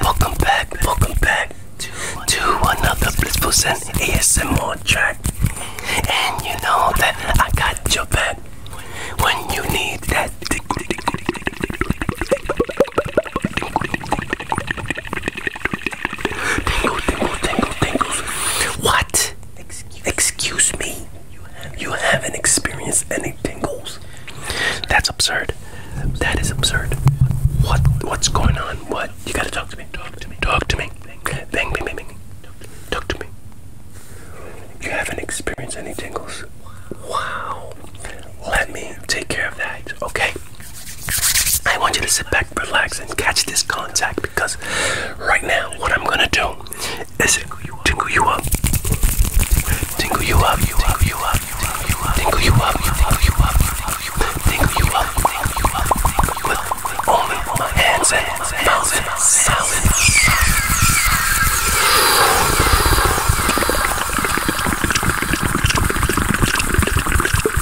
Welcome back, welcome back to, another Blissful Zen ASMR track. And you know that I got your back when you need that. Tingle, tingle, tingle, tingles. What? Excuse, me. You, have you haven't experienced any tingles. That's absurd. That is absurd. What? What's going on? What? You gotta talk to me. Talk to me. Talk to me. Bang, bang, bang, bang. Talk to me. You haven't experienced any tingles. Wow. Let me take care of that. Okay. I want you to sit back, relax, and catch this contact because right now, what I'm gonna do is tingle you up, tingle you up, you up, you up, you up, tingle you up, you up, you up, tingle you up, you up, with only my hands and mouth and sound.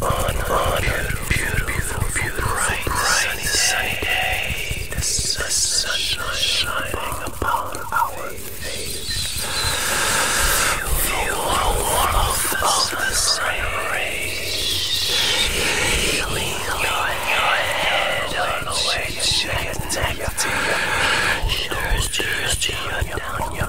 on, a beautiful, bright, sunny, sunny day. day. The sun shining upon our face. Feel the warmth of the sun rays healing your head all the way to your neck, to your shoulders, to your down your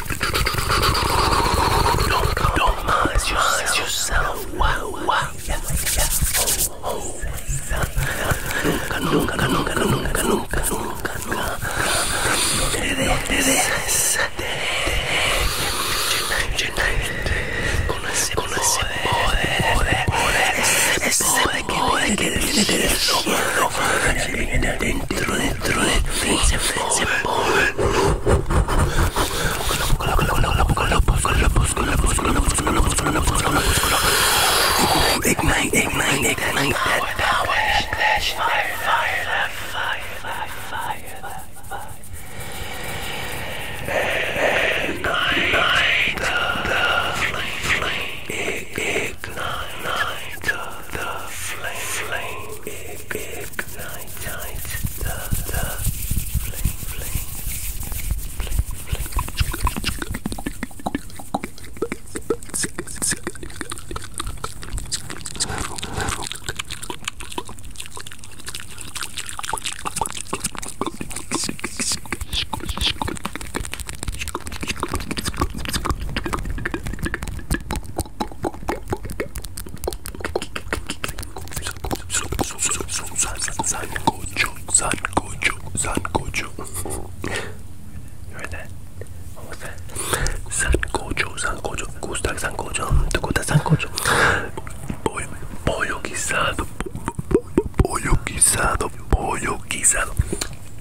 Don't, don't mind yourself. yourself. Wow, wow. Yeah, yeah. Oh, oh. Nunca, nunca, nunca, nunca, nunca, nunca, nunca. No te dejes. Con ese, con ese poder, poder, poder. Ese poder que tiene dentro de Ignite, ignite, ignite that power, that flash, fire, fire, that fire, fire, fire, that fire. Ignite the flame, ignite the the flame flame ignite the the flame flame flame you heard that? What was that? Sancocho, sancocho, gusta sancocho, te gusta sancocho. Pollo, pollo guisado, pollo guisado, pollo guisado.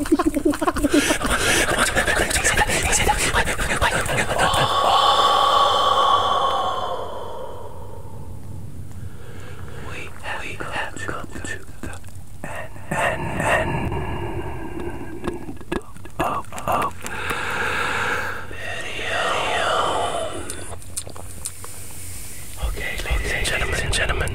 We have, come, to the end, end, end Okay, ladies, and gentlemen,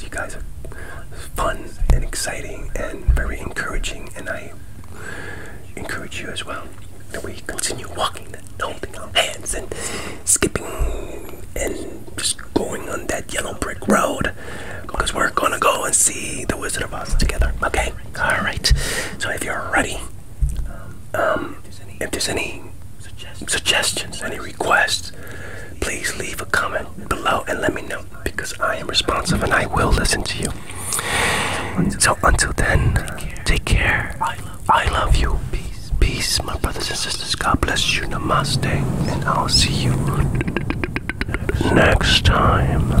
You guys are fun and exciting and very encouraging, and I encourage you as well that we continue walking and holding our hands and skipping and just going on that yellow brick road because we're gonna go and see the Wizard of Oz together. Okay, all right. So if you're ready, um, if there's any suggestions, any requests, please leave a comment below and let me know because I am responsive and I will listen to you. So until then, take care. I love you. Peace, peace, my brothers and sisters. God bless you. Namaste. And I'll see you next time.